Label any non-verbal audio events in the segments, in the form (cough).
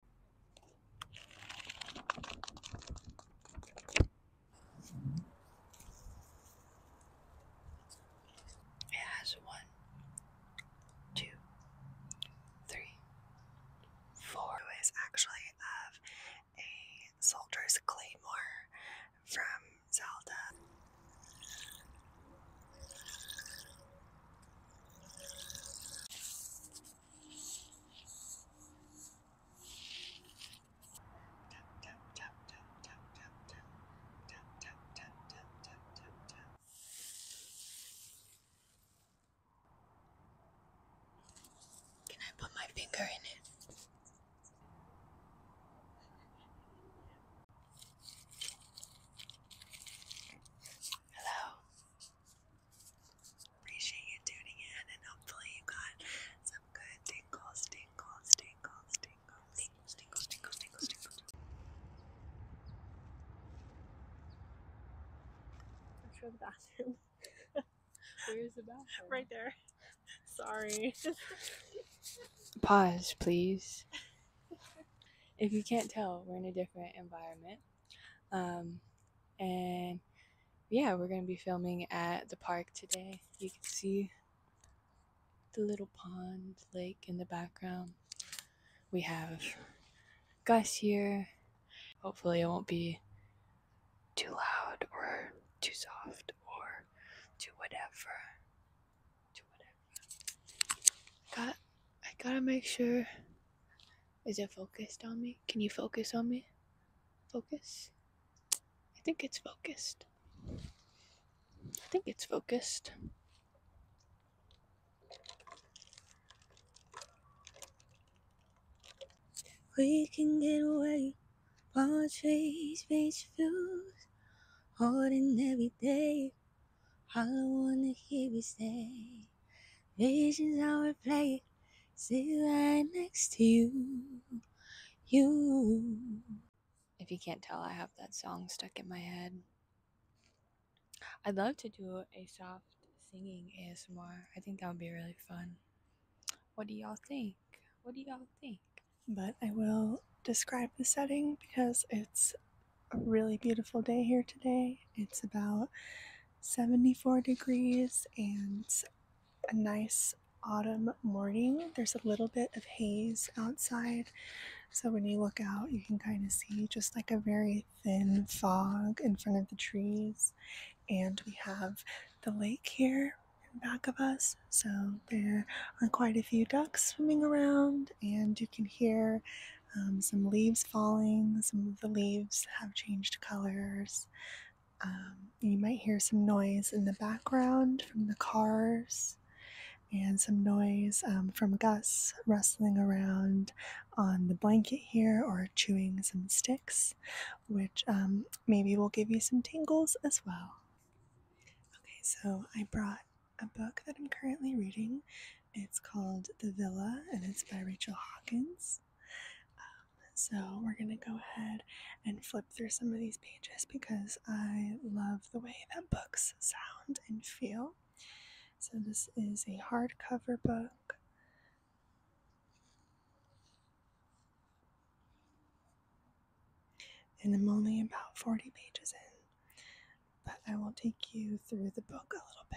It has one, two, three, four. It is actually of a soldier's claymore from Zelda. Can I put my finger in it? Hello. Appreciate you tuning in, and hopefully you got some good tingles, tingles, tingles, tingles, tingles, tingles, tingles, tingles, tingles. Let's go the bathroom. (laughs) Where's the bathroom? Right there. Sorry. (laughs) Pause, please. If you can't tell, we're in a different environment. Um, and yeah, we're going to be filming at the park today. You can see the little pond, lake in the background. We have Gus here. Hopefully, it won't be too loud or too soft or too whatever. Too whatever. I got. I gotta make sure is it focused on me? Can you focus on me? Focus? I think it's focused. I think it's focused. We can get away, portraits, page views, ordinary every day. All I wanna hear you say, visions how we play, sit right next to you, you. If you can't tell, I have that song stuck in my head. I'd love to do a soft singing ASMR. I think that would be really fun. What do y'all think? What do y'all think? But I will describe the setting because it's a really beautiful day here today. It's about 74 degrees and a nice autumn morning. There's a little bit of haze outside, so when you look out, you can kind of see just like a very thin fog in front of the trees. And we have the lake here in back of us, so there are quite a few ducks swimming around, and you can hear um, some leaves falling. Some of the leaves have changed colors. Um, you might hear some noise in the background from the cars and some noise um, from Gus rustling around on the blanket here or chewing some sticks, which maybe will give you some tingles as well. Okay, so I brought a book that I'm currently reading. It's called The Villa and it's by Rachel Hawkins. Um, so we're going to go ahead and flip through some of these pages because I love the way that books sound and feel. So this is a hardcover book. And I'm only about 40 pages in, but I will take you through the book a little bit.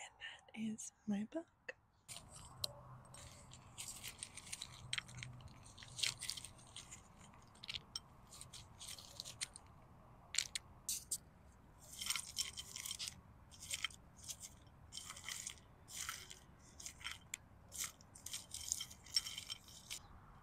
And that is my book.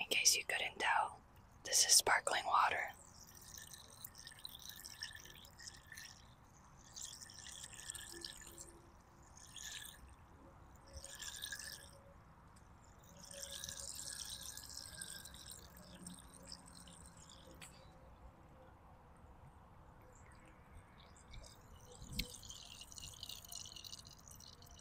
In case you couldn't tell, this is sparkling water.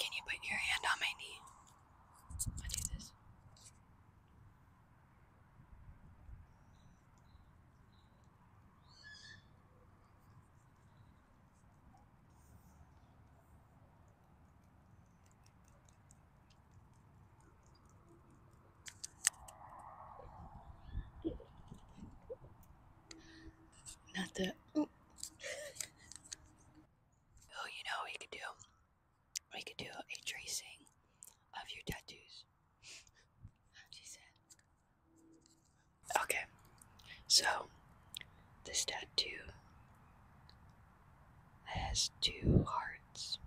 Can you put your hand on my knee? i do this. Not the. oh, you know we could do? We could do a tracing of your tattoos. Okay. So, this tattoo has two hearts.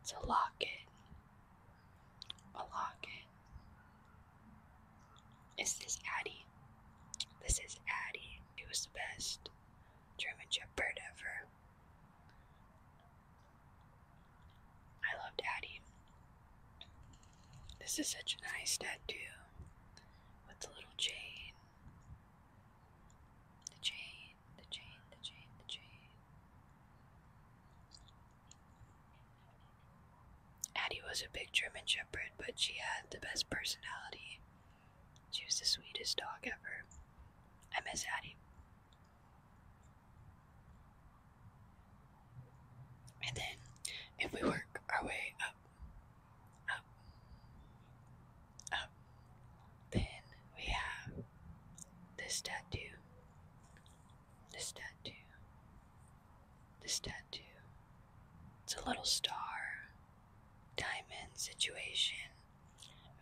It's a locket. A locket. Is this Addie? This is Addie. He was the best German Shepherd ever. I loved Addie. This is such a nice tattoo with the little chain. The chain. Addie was a big German Shepherd, but she had the best personality. She was the sweetest dog ever. I miss Addie. And then, if we work our way up, up, up. Then we have this tattoo, this tattoo, this tattoo. It's a little star, diamond situation,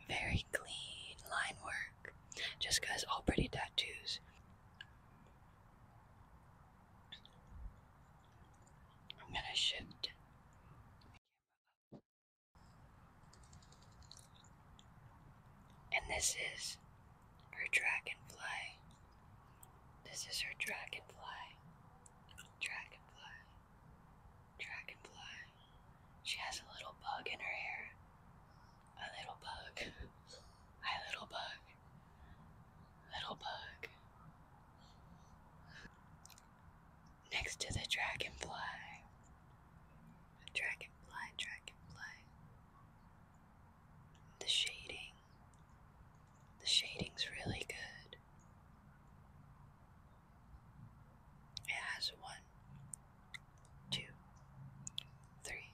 very clean line work, just because all pretty tattoos. I'm gonna shift. And this is her dragonfly. This is her dragonfly. Dragonfly. Dragonfly. She has a little bug in her hair. A little bug. (laughs) A little bug. Little bug next to the dragonfly. Dragonfly, dragonfly. The shading. The shading's really good. It has one, two, three,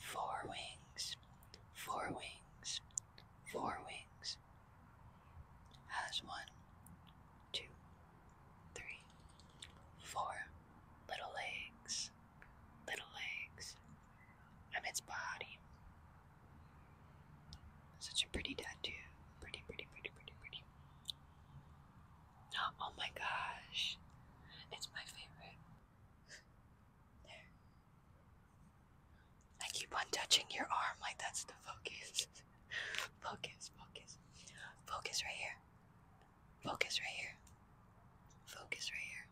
four wings, four wings, four wings, has one, two, three, four little legs, little legs, and its body. Such a pretty tattoo. Pretty, pretty, pretty, pretty, pretty. Oh, my gosh. It's my favorite. there. I keep on touching your arm like that's the focus. (laughs) Focus, focus. Focus right here. Focus right here. Focus right here.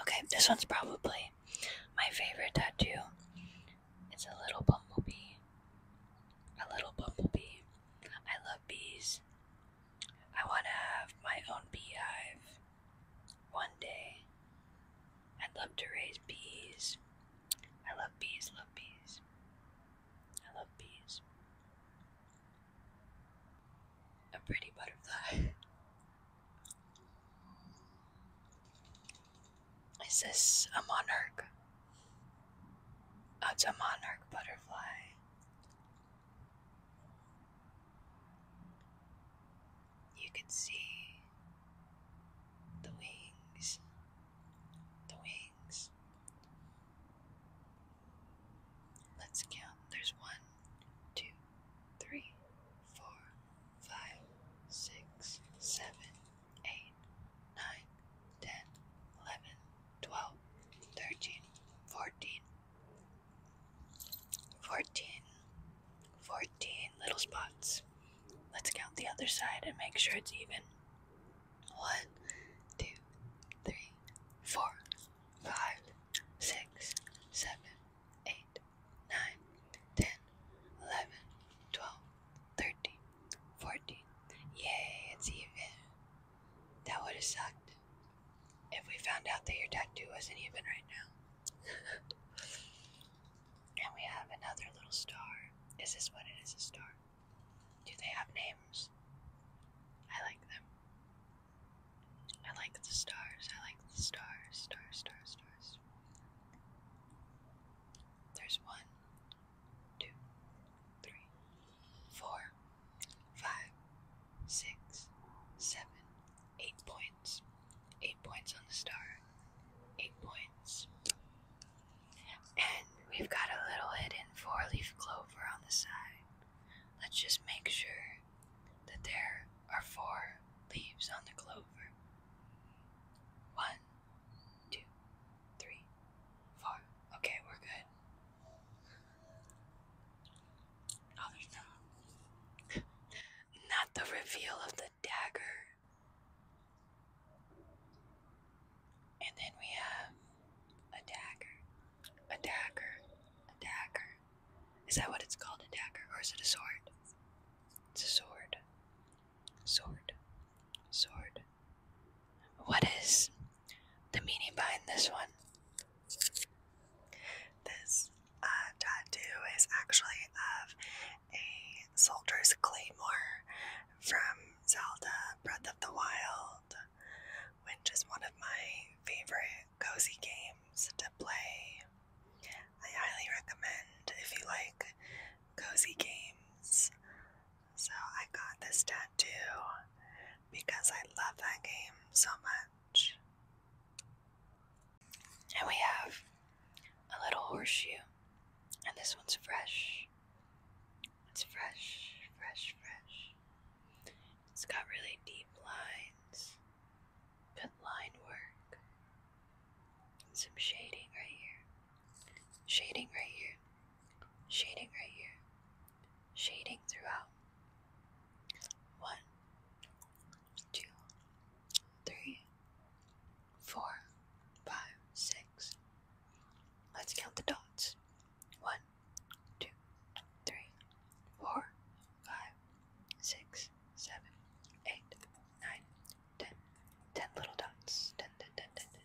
Okay, this one's probably my favorite tattoo. It's a little bumblebee. A little bumblebee. I love bees. I want to have my own beehive one day. I'd love to raise bees I love bees, love bees. I love bees. A pretty butterfly. (laughs) Is this a monarch? Oh, a monarch butterfly. You can see the wings, the wings. Let's count. There's one, two, three, four, five, six, seven, eight, nine, ten, eleven, twelve, thirteen, fourteen, fourteen. 14 little spots. Let's count the other side and make sure it's even. 1, Yay, it's even. That would have sucked if we found out that your tattoo wasn't even right now. (laughs) And we have another little star. Is this what it is? A star? Do they have names? I like them. I like the stars. I like the stars. Stars, stars, stars. There's one, two, three, four, five, six, seven, eight points eight points on the star, eight points. And we've got a little hidden four leaf clover on the side. Let's just make sure that there are four leaves on the clover. One, two, three, four. Okay, we're good. Oh, there's not. (laughs) Not the reveal of the dagger. And then we have a dagger. A dagger. A dagger. Is that what it's called? A dagger? Or is it a sword? It's a sword. Sword. Sword. What is the meaning behind this one? This uh, tattoo is actually of a soldier's claymore from Zelda Breath of the Wild, which is one of my favorite cozy games to play. I highly recommend if you like cozy games. So I got this tattoo because I love that game so much. And we have a little horseshoe. And this one's fresh. It's fresh, fresh, fresh. It's got really deep lines. Good line work. And some shading right here. Shading right here. Shading right here. Shading throughout. One, two, three, four, five, six. Let's count the dots. One, two, three, four, five, six, seven, eight, nine, ten. Ten little dots. Ten, ten, ten, ten, ten.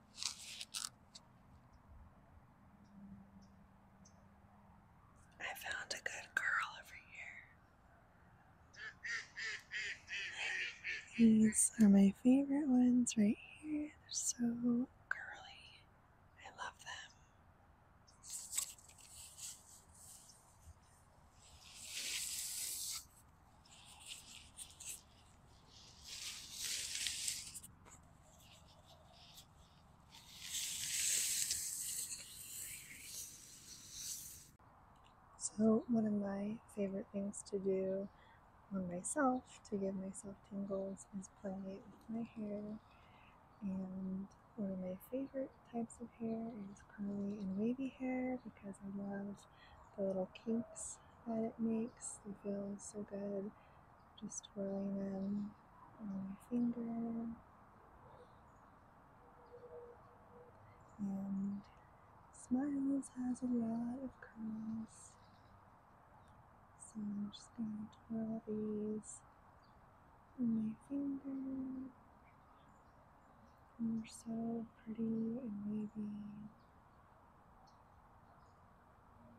I found a good girl over here. These are my favorite ones right here. They're so curly. I love them. So, one of my favorite things to do on myself to give myself tingles is play with my hair. And one of my favorite types of hair is curly and wavy hair because I love the little kinks that it makes. It feels so good just twirling them on my finger. And Smiles has a lot of curls. So I'm just going to twirl these on my finger. they're so pretty and wavy.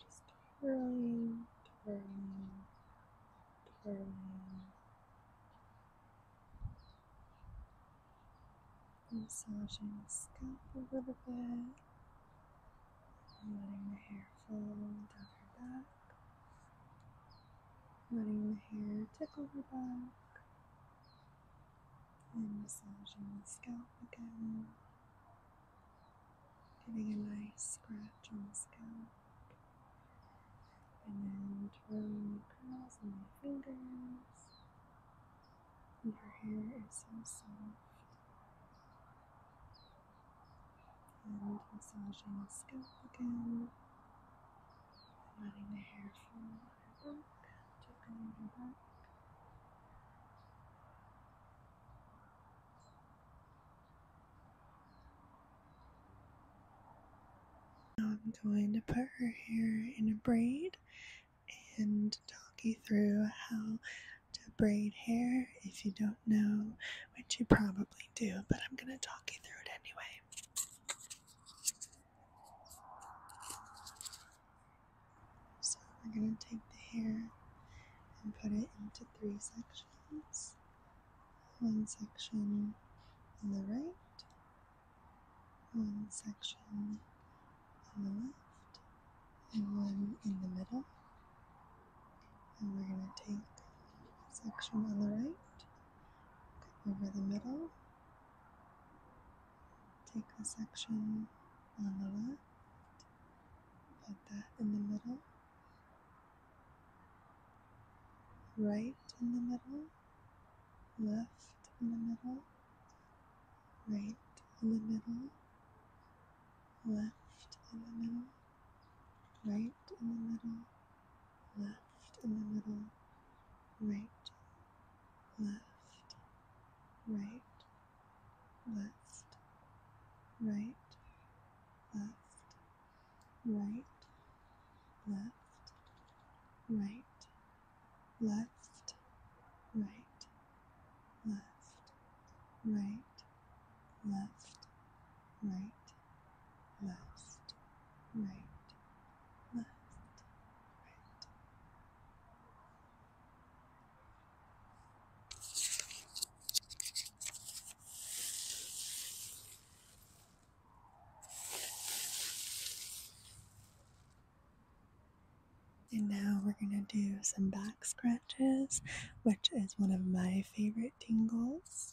Just twirling, twirling, twirling. Massaging the scalp a little bit letting the hair fall down her back, letting the hair tickle her back. And massaging the scalp again, giving a nice scratch on the scalp, and then twirling the curls in my fingers. And her hair is so soft. And massaging the scalp again. I'm going to put her hair in a braid and talk you through how to braid hair if you don't know, which you probably do, but I'm going to talk you through it anyway. So we're going to take the hair and put it into three sections. One section on the right, one section on the left, and one in the middle. And we're going to take a section on the right over the middle. Take the section on the left, put that in the middle, right in the middle, left in the middle, right in the middle, left in the middle, right in the middle, left in the middle, right, left, right, left, right, left, right, left, right, left, right, left, right, left, right left, right, left, right. And now we're going to do some back scratches, which is one of my favorite tingles.